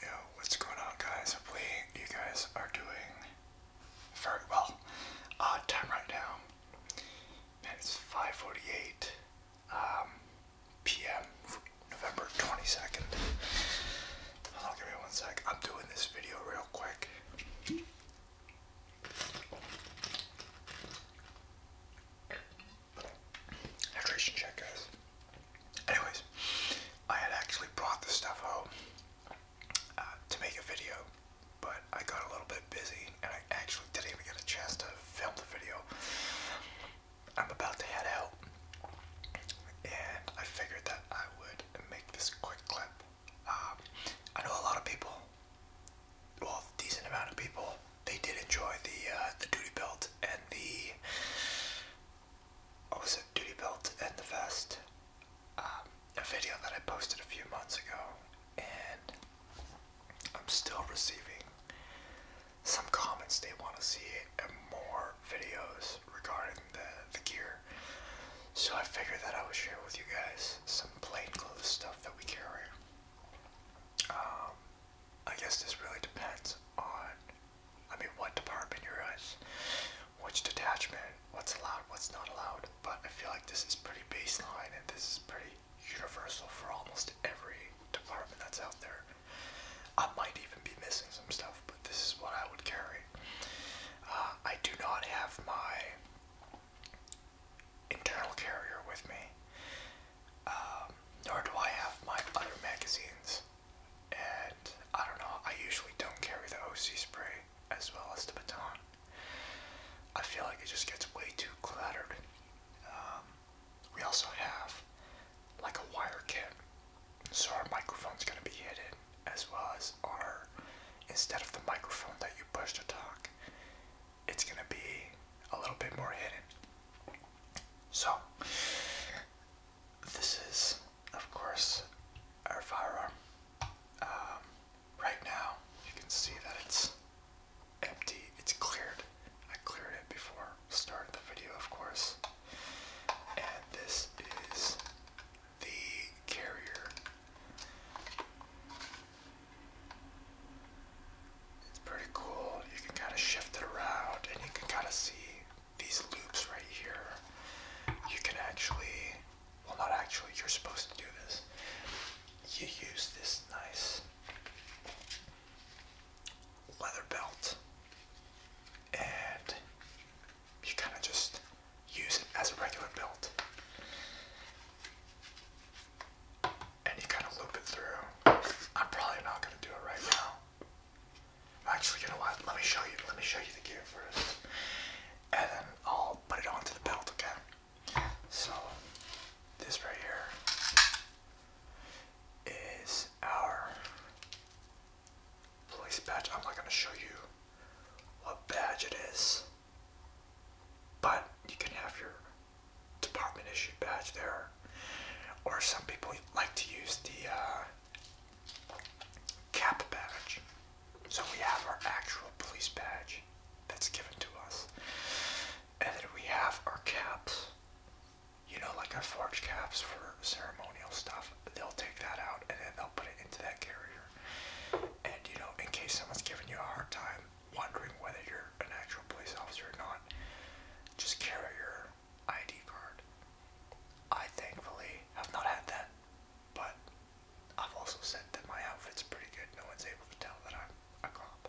Yo, what's going on guys? Hopefully you guys are doing very well. Uh, time right now, it's 5.48 p.m. Um, November 22nd. Hold on, give me one sec. I'm doing this video real quick. Hydration check, guys. Anyways, I had actually brought this stuff home uh, to make a video, but I got a little bit busy and I actually didn't even get a chance to film the video. I'm about to head out, and I figured that I would make this quick clip. Um, I know a lot of people, well, a decent amount of people they did enjoy the uh, the duty belt and the what was it duty belt and the vest. Um, a video that I posted a few months ago, and I'm still receiving some comments. They want to see more videos regarding the the gear. So I figured that I would share with you guys some plain clothes stuff that we carry. Um, I guess this really depends on, I mean, what department you're in, which detachment, what's allowed, what's not allowed. But I feel like this is pretty baseline and this is pretty universal for almost every department that's out there. I might even be missing some stuff, but this is what I would carry. Uh, I do not have my internal carrier with me. Um, nor do I have my other magazines. And I don't know, I usually don't carry the OC spray as well as the baton. I feel like it just gets way too cluttered. Um, we also have like a wire kit, so our microphone's gonna be hidden as well as our, instead of the microphone that you push to talk, it's gonna be a little bit more hidden. So, this is, of course, our firearm. Um, right now, you can see that it's empty, it's cleared. I cleared it before starting the video, of course. And this is the carrier. It's pretty cool. You can kind of shift it around and you can kind of see these loops right here. You can actually, well not actually, you're supposed to do this. You use this nice leather belt and you kind of just use it as a regular belt and you kind of loop it through. I'm probably not gonna do it right now. actually gonna watch. Let me show you. Let me show you the gear first, and then I'll put it onto the belt. again. So this right here is our police badge. I'm not gonna show you what badge it is, but you can have your department issue badge there. Or some people like to use the uh, cap badge. So we have our actual police badge that's given to us. And then we have our caps. You know, like our forge caps for ceremonial stuff. They'll take that out and then they'll put it into that carrier. And you know, in case someone's giving you a hard time, wondering whether you're an actual police officer or not, just carry your ID card. I thankfully have not had that, but I've also said that my outfit's pretty good. No one's able to tell that I'm a cop.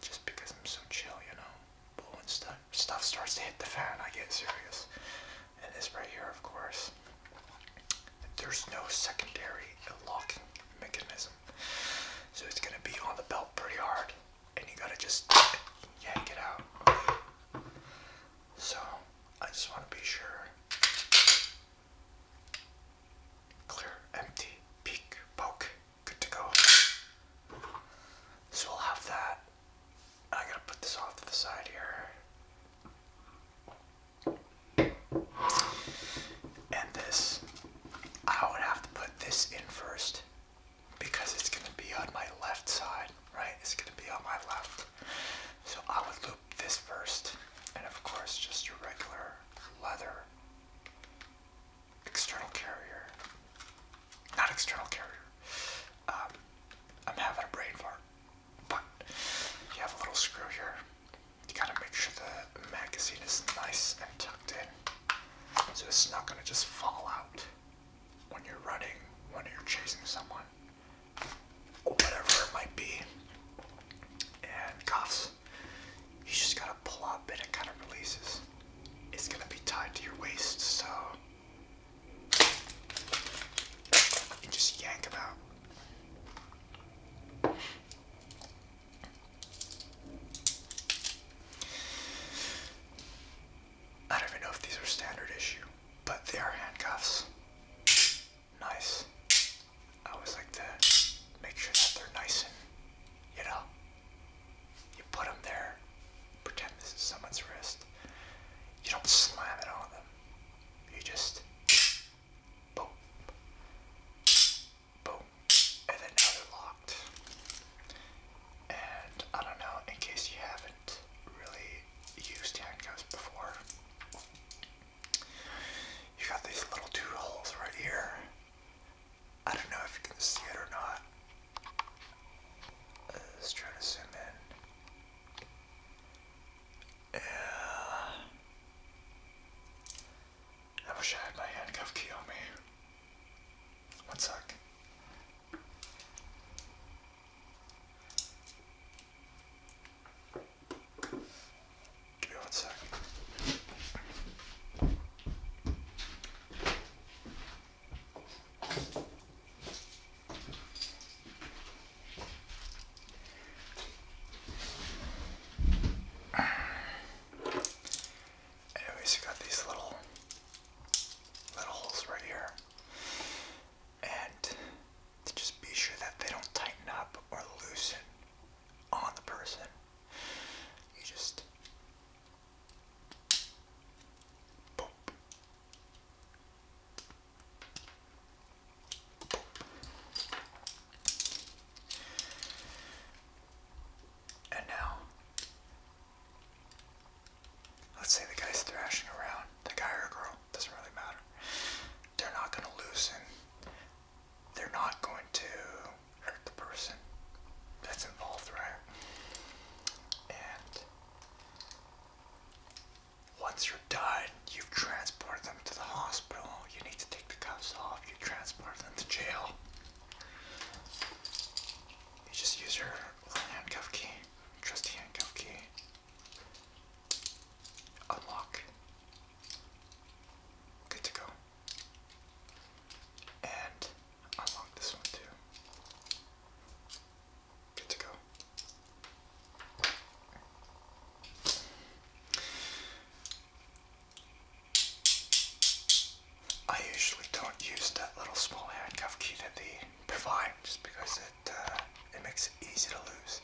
Just because I'm so chill, you know. But when stuff starts to hit the fan, I get serious. And this right here, of course, there's no secondary locking mechanism so it's gonna be on the belt pretty hard, and you gotta just yank it out. So I just wanna be sure. Clear, empty, peak, poke, good to go. So we'll have that. I gotta put this off to the side here. And this I would have to put this in first because it's going to be on my left side, right? It's going to be on my left. So I would loop this first, and of course, just a regular leather external carrier. Not external carrier. Um, I'm having a brain fart, but you have a little screw here. You gotta make sure the magazine is nice and tucked in so it's not gonna just fall out when you're running, when you're chasing someone, or whatever it might be. And cuffs, you just gotta pull up and it kind of releases. It's gonna be tied to your waist, so you just yank them out. I don't even know if these are standard issue, but they are handcuffs. Nice. I always like to make sure that they're nice and, you know, you put them there, pretend this is someone's wrist. You don't slam it on them. You just boom boom, and then now they're locked. And I don't know, in case you haven't really used handcuffs before, you got these little two holes right here. I don't know if you can see it or not. Uh, let's try to zoom in. Yeah. I wish I had my handcuff key on me. One sec. Give me Anyways, you got these little little holes right here. And to just be sure that they don't tighten up or loosen on the person. You just boop. And now, let's say the guy's thrashing around, the guy or girl, doesn't really matter. They're not going to loosen, they're not going to hurt the person that's involved, right? And once you're done, you've transported them to the hospital, you need to take the cuffs off, you transport them to jail. You just use your handcuff key, trusty handcuff key. Unlock. Good to go. And unlock this one too. Good to go. I usually don't use that little small handcuff key that they provide just because it uh, it makes it easy to lose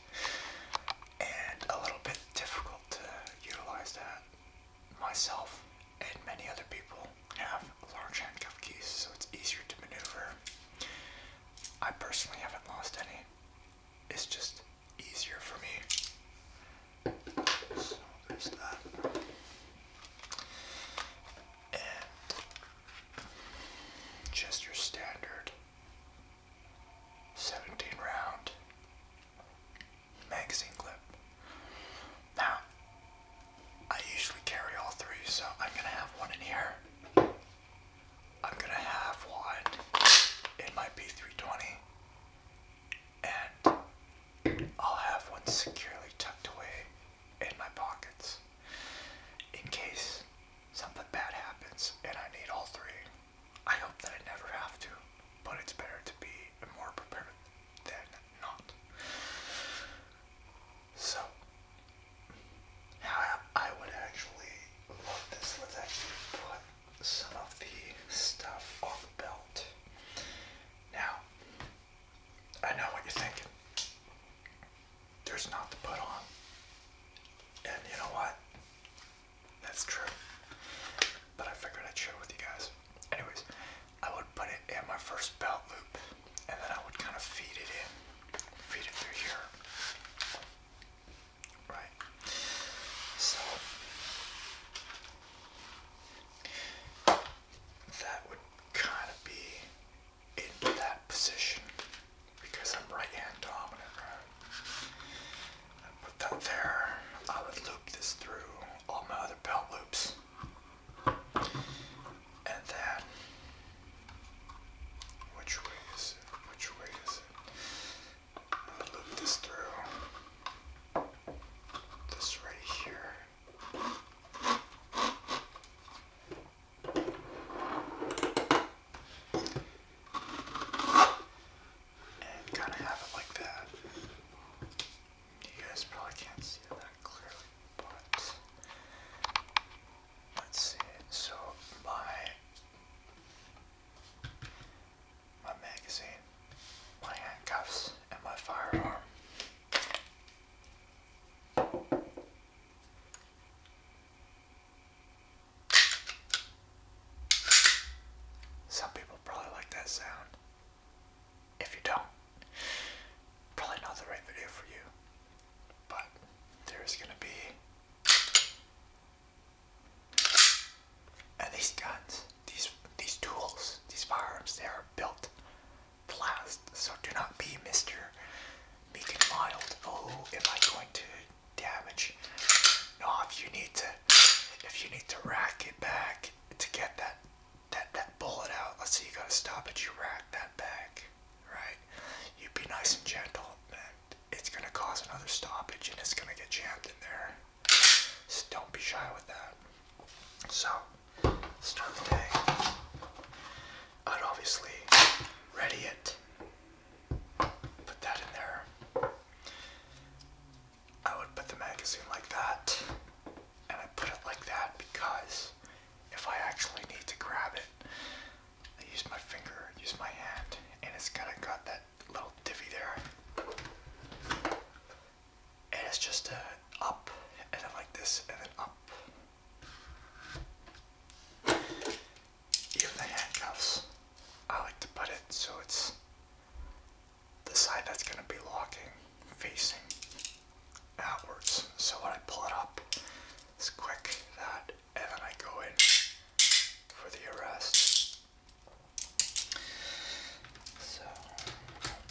and a little bit difficult to utilize that. Myself and many other people have large handcuff keys, so it's easier to maneuver. I personally haven't lost any. It's just easier for me. So there's that. And just your standard 17 round magazine clip. Now, I usually carry all three, so I'm gonna have one in here. I'm gonna have one in my P320 and I'll have one securely tucked away in my pockets in case something bad happens and I need all three. I hope that I never have to, but it's better to be more prepared than not. So, I would actually love this. let some of the stuff on the belt. Now, I know what you're thinking. There's not to put on. And you know what? That's true. But I figured I'd share with you guys. Anyways, I would put it in my first belt loop and then I would kind of feed it in, feed it through here right? So that would kind of be in that position because I'm right hand dominant, I put that there. I would loop this through all my other belt loops. And then which way is it? Which way is it? I'll loop this through. This right here. And kind of have it like that. You guys probably can't see that clearly, but let's see. So my my magazine, my handcuffs, and my firearm. Some people probably like that sound. If you don't, probably not the right video for you. But there's gonna be and these guns, these these tools, these firearms, they are built to last. So do not be Mr. Meek and Mild. Oh, am I going to damage? No, if you need to, if you need to rack it back to get that that that bullet out. Let's say you gotta stop it. You rack that back, right? You would be nice and gentle, man it's gonna cause another stoppage and it's gonna get jammed in there. So don't be shy with that. So, start the day. I'd obviously ready it, put that in there. I would put the magazine like that, and I put it like that because if I actually need to grab it, I use my finger, use my hand, and it's gonna got that little divvy there. And it's just uh, up, and then like this, and then up. Even handcuffs, I like to put it so it's the side that's going to be locking, facing outwards. So when I pull it up, it's quick that and then I go in for the arrest. So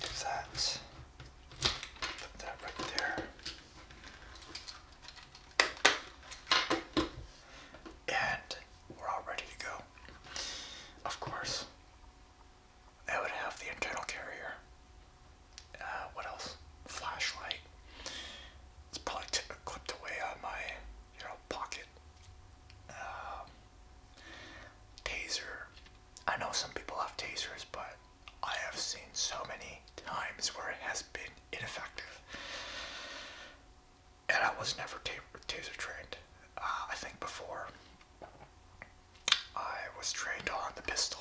do that. Put that right there. And we're all ready to go. Of course, I would have the internal carrier. Uh, what else? Flashlight. It's probably clipped away on my you know, pocket um, taser. I know some people have tasers, but I have seen so many times where it has been ineffective. And I was never taser trained. Uh, I think before I was trained on the pistol,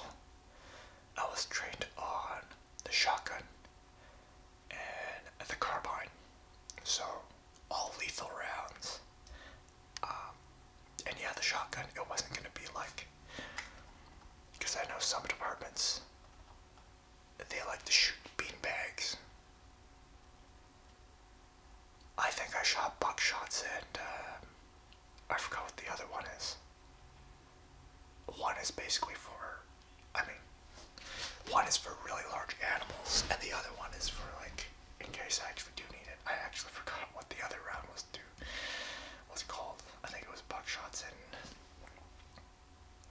I was trained on the shotgun, and the carbine. So all lethal rounds. Um, and yeah, the shotgun, it wasn't going to be like, because I know some departments, they like to shoot bean bags. I think I shot buckshots and uh, I forgot what the other one is. One is basically for I mean, one is for really large animals, and the other one is for like, in case I actually do need it. I actually forgot what the other round was to was called. I think it was buckshots and.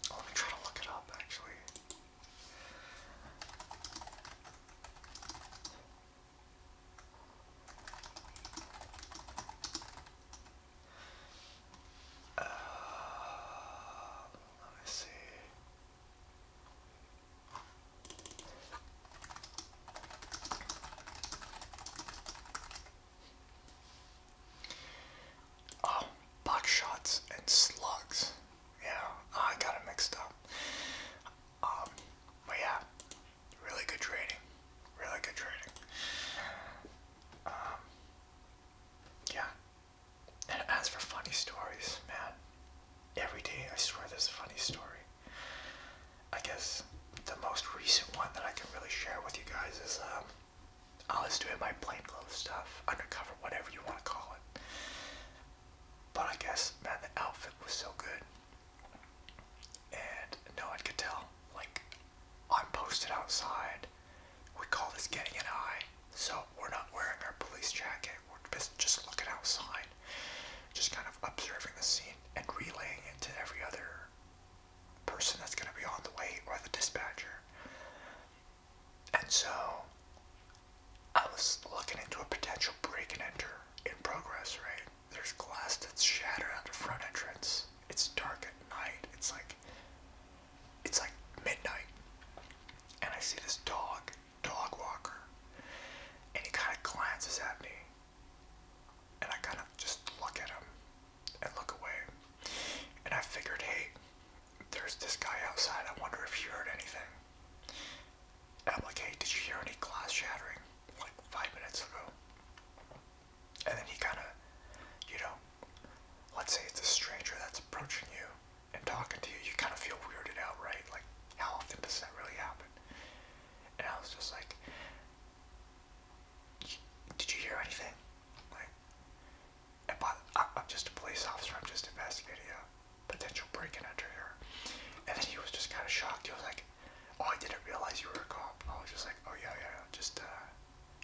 Let me try to look it up actually let me see. Oh, buck shots and slugs. Yeah, ah, I got it mixed up. Um, but yeah, really good trading. Really good trading. Um, yeah, and as for funny stories, man, every day I swear there's a funny story. I guess the most recent one that I can really share with you guys is um, I was doing my plainclothes stuff, undercover, whatever you want to call it. But I guess, man, the outfit was so good. And no one could tell. Like, I'm posted outside we call this getting an eye. So we're not wearing our police jacket. We're just looking outside, just kind of observing the scene and relaying it to every other person that's going to be on the way or the dispatcher. And so I was looking into a potential break and enter in progress, right? There's glass that's shattered at the front entrance. It's dark at night. It's like it's like midnight, and I see this dog, dog walker, and he kind of glances at me, and I kind of just look at him and look away, and I figured, hey, there's this guy outside. I wonder if he heard anything. And did you hear any glass shattering like five minutes ago? And then he kind of, you know, let's say it's a stranger that's approaching you and talking to you, you kind of feel weirded out, right? Like, how often does that really happen? And I was just like, did you hear anything? Like, I'm just a police officer, I'm just investigating a potential break and enter here. And then he was just kind of shocked. He was like, oh, I didn't realize you were a cop. I was just like, oh, yeah, yeah, just, uh,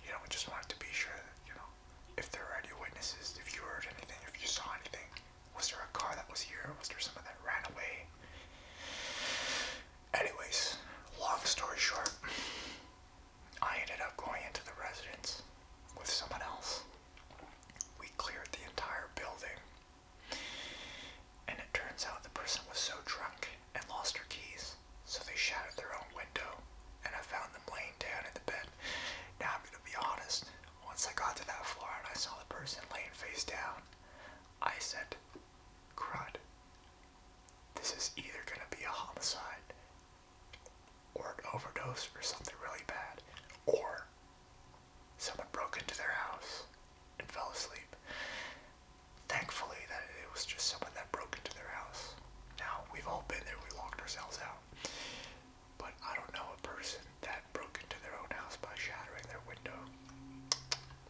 you know, we just wanted to be sure you know, if there were any witnesses, if you heard anything, if you saw anything, was there a car that was here? Was there someone that ran away? Anyways, long story short, I ended up going into the residence with someone else. We cleared the entire building. And it turns out the person was so drunk and lost her keys so they shattered their own window, and I found them laying down in the bed. Now, I'm going to be honest, once I got to that floor and I saw the person laying face down, I said, crud. This is either going to be a homicide, or an overdose, or something really bad, or someone broke into their house and fell asleep thankfully that it was just someone that broke into their house. Now, we've all been there, we locked ourselves out. But I don't know a person that broke into their own house by shattering their window.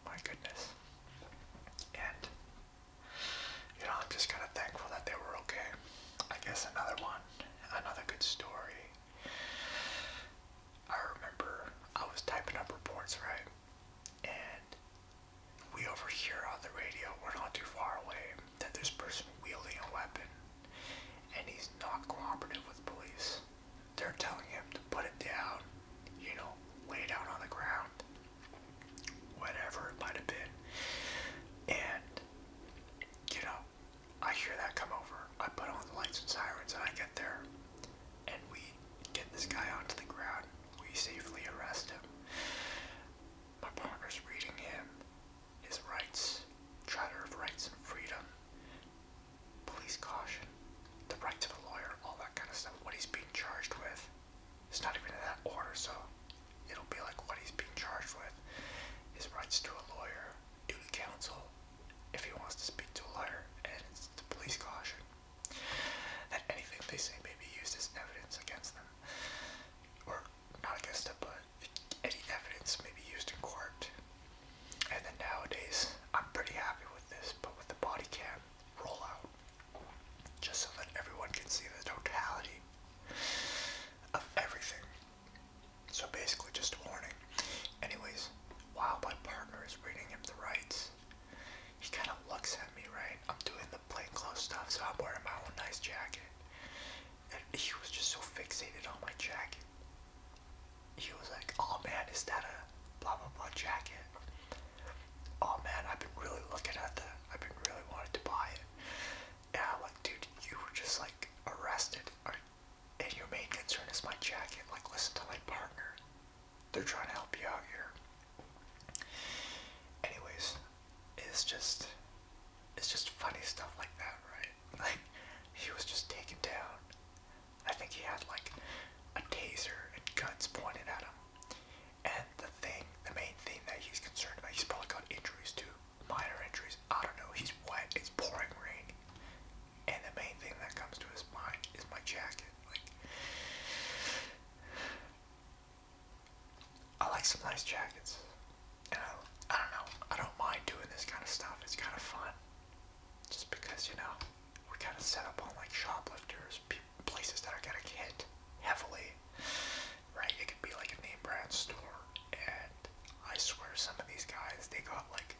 My goodness. And, you know, I'm just kind of thankful that they were okay. I guess another one, another good story. I remember I was typing up reports, right? And we overhear on the radio, we're not too far away, that there's person wielding a weapon and he's not cooperative with police. They're telling him to put it down, you know, lay down on the ground, whatever it might have been. And, you know, I hear that come over. I put on the lights and sirens and I get there. And we get this guy onto the ground we safely arrest him. My partner's reading him, his rights, Charter of Rights and Freedom, police caution, the right to the lawyer, all that kind of stuff. What he's being charged with, it's not even in that order, so it'll be like what he's being charged with, his rights to a lawyer, duty counsel, if he wants to speak to a lawyer, and police caution that anything they say may be used as evidence against them, or not against them, but any evidence may be used in court. And then nowadays, I'm pretty happy with this, but with the body cam rollout, just so that everyone can see the totality of everything. So basically, just a warning. Anyways, while my partner is reading him the rights, he kind of looks at me, right? I'm doing the plainclothes stuff, so I'm wearing my own nice jacket. And he was just so fixated on my jacket. He was like, oh man, is that a blah blah blah jacket? Oh man, I've been really looking at that. I've been really wanted to buy it. And I'm like, dude, you were just like arrested. and your main concern is my jacket. Like, listen to my partner they're trying to help you out here. Anyways, it's just it's just funny stuff like that, right? Like he was just taken down. I think he had like a taser and guns pointed at him. And the thing, the main thing that he's concerned about, he's probably got injuries too, minor injuries. I don't know. He's wet. It's pouring rain, and the main thing that comes to his mind is my jacket. Like, I like some nice jackets. And I, I don't know, I don't mind doing this kind of stuff. It's kind of fun. Just because, you know, we're kind of set up on like shoplifters, places that are getting hit heavily. Right? It could be like a name brand store. And I swear some of these guys, they got like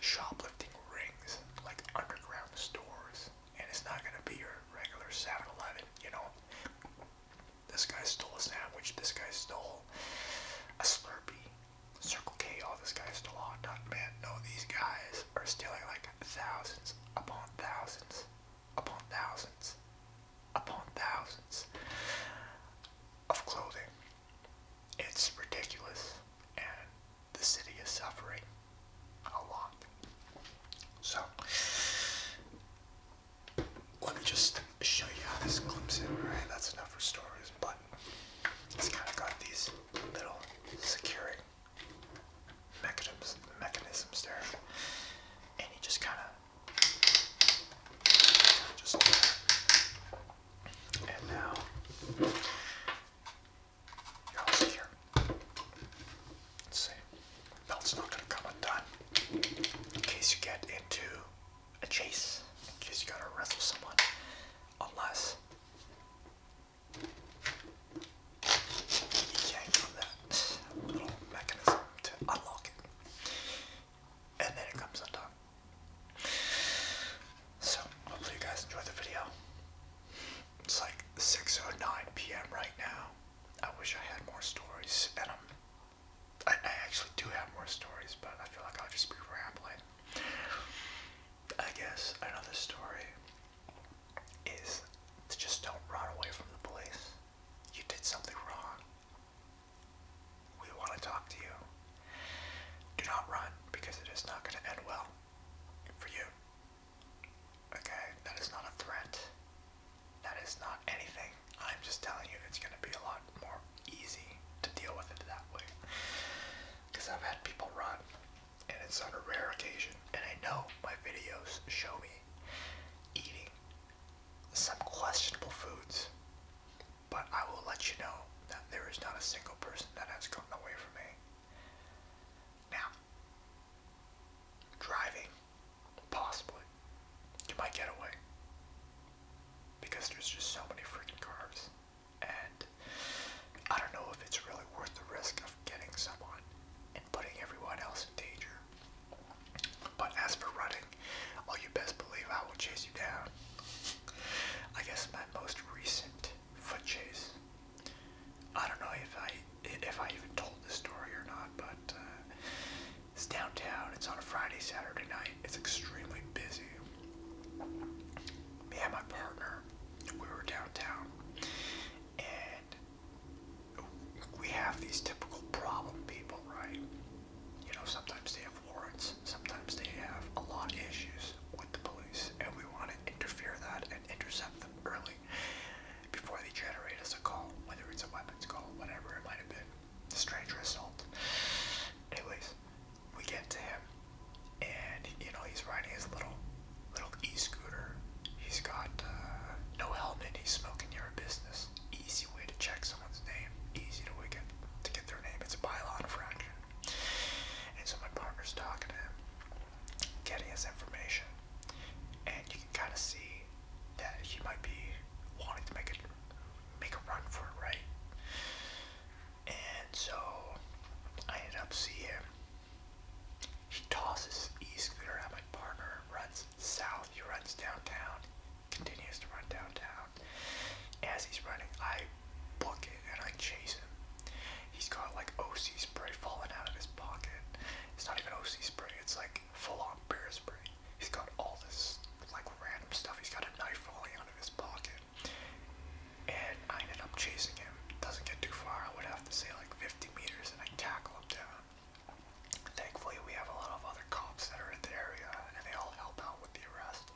shoplifting rings, like underground stores and it's not gonna be your regular 7-Eleven, you know. This guy stole a sandwich, this guy stole a Slurpee, Circle K, all oh, this guy stole a hot man. No, these guys are stealing like thousands upon thousands upon thousands upon thousands of clothing. It's ridiculous the city is suffering a lot. So, let me just show you this clips in, That's enough for stories, but it's kind of got these little securing mechanisms, mechanisms there. And you just kind of just now Let's see. Belt's not gonna come undone. In case you get into a chase. In case you gotta wrestle someone. Unless you yank from that little mechanism to unlock it. And then it comes undone. So hopefully you guys enjoyed the video. It's like 6:09 p.m. right now. I wish I had more stories, and I'm, I, I actually do have more stories, but I feel like I'll just be rambling. I guess another story is to just don't run away from the police. You did something wrong. We want to talk to you. Do not run because it is not going to end well for you. Okay, that is not a threat. That is not anything. I'm just telling you it's gonna be a lot more easy to deal with it that way. Because I've had people run, and it's on a rare occasion, and I know my videos show me eating some questionable foods. But I will let you know that there is not a single person that has gotten away from me. Now, driving, possibly, you might get away because there's just so many freaking cars, and I don't know if it's really worth the risk of getting someone and putting everyone else in danger. But as for running, oh, you best believe I will chase you down. I guess my most recent foot chase. I don't know if I if I even told this story or not, but uh, it's downtown. It's on a Friday, Saturday night. It's extremely busy. Me and my partner, we were downtown, and we have these typical problem people, right? You know, sometimes they have warrants, sometimes they have a lot of issues the police, and we want to interfere that and intercept them early before they generate us a call, whether it's a weapons call, whatever it might have been, stranger assault. Anyways, we get to him, and you know he's riding his little little e-scooter. He's got uh, no helmet. He's smoking your business. Easy way to check someone's name. Easy to get to get their name. It's a bylaw infraction. And so my partner's talking to him, getting his information, and you can kind of see that he might be wanting to make it, make a run for it, right? And so I end up seeing him. He tosses e-scooter at my partner, runs south. He runs downtown, continues to run downtown. As he's running, I bucket and I chase him. He's got like OC spray falling out of his pocket. It's not even OC spray, it's like full on bear spray. He's got all this like random stuff. He's got a knife falling out of his pocket. And I ended up chasing him. Doesn't get too far, I would have to say like 50 meters, and I tackle him down. Thankfully, we have a lot of other cops that are in the area, and they all help out with the arrest.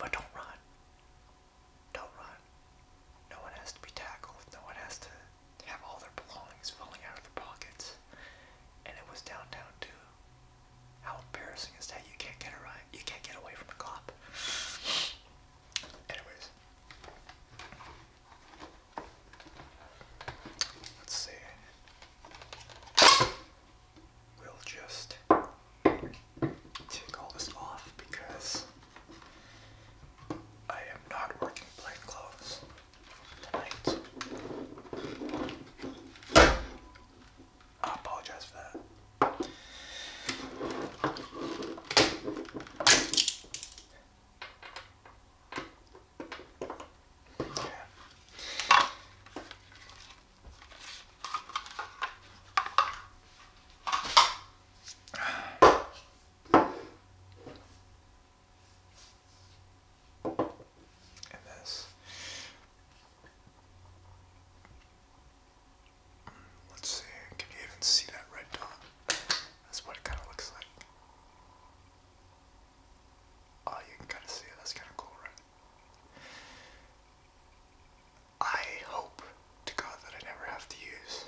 But don't run. Don't run. No one has to be tackled. No one has to have all their belongings falling out of their pockets. And it was downtown too. How embarrassing is that? You can't get a You can't get away from a cop. Anyways, let's see we'll just take all this off because I am not working plain clothes tonight. I apologize for that. Yeah. And this. Let's see, can you even see that red dot? That's what it kind of looks like. Oh, you can kind of see it. That's kind of cool, right? I hope to God that I never have to use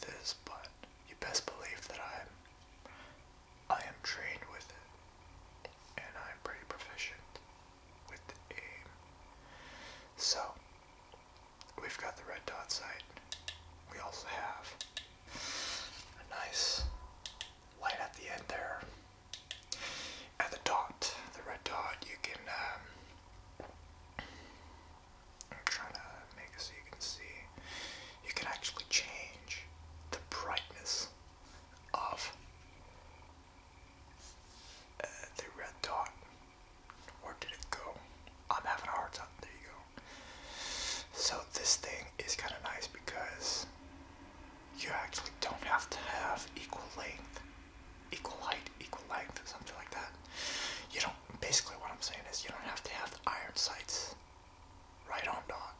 this, but you best believe that I'm I am trained with it and I'm pretty proficient with the aim. So we've got the red dot sight. We also have a nice light at the end there. At the dot, the red dot, you can. Um, I'm trying to make so you can see. You can actually change the brightness of uh, the red dot. Where did it go? I'm having a hard time. There you go. So this thing is kind of nice because you actually don't have to have equal length equal height, equal length, something like that. You don't, basically what I'm saying is you don't have to have iron sights right on dot.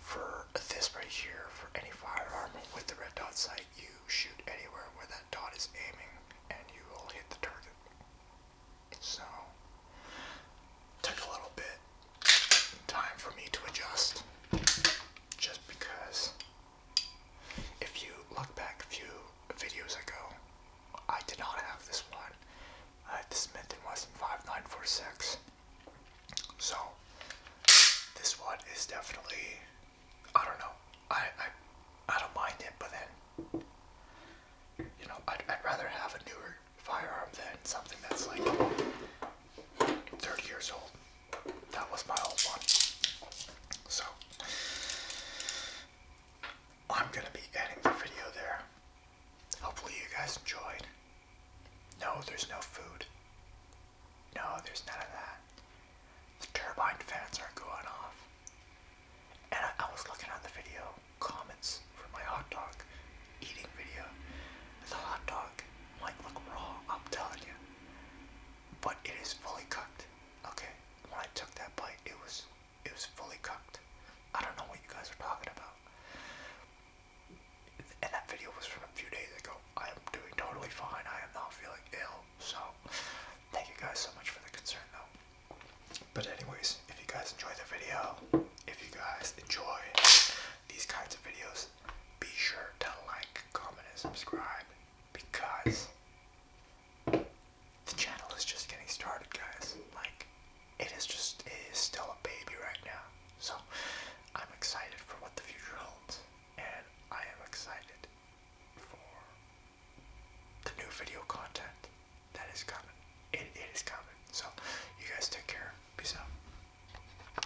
For this right here, for any firearm with the red dot sight, you shoot anywhere where that dot is aiming and you will hit the target. So, took a little bit time for me to adjust just because if you look back a few videos ago, I did not have this one. this mint in Wesson 5946. So, this one is definitely, I don't know, I, I, I don't mind it, but then, you know, I'd, I'd rather have a newer firearm than something that's like 30 years old. That was my old one. So, I'm going to be ending the video there. Hopefully you guys enjoyed. No, there's no food. No, there's none of that. The turbine fans are going off. And I, was looking at the video comments for my hot dog eating video. The hot dog dog look raw, I'm telling you. But it is fully cooked. Okay, when I took that bite, it was it was fully cooked. I don't know what you guys are talking about. And that video was from a few days ago. I am doing totally fine. I am not feeling ill. So, thank you guys so much for the concern, though. But anyways, if you guys enjoy the video, if you guys enjoy these kinds of videos, be sure to like, comment, and subscribe because the channel is just getting started, guys. Like, it is just, it is still a baby right now. So, I'm excited for what the future holds, and I am excited for the new video content that is coming. it is coming. So, you guys take care. Peace out.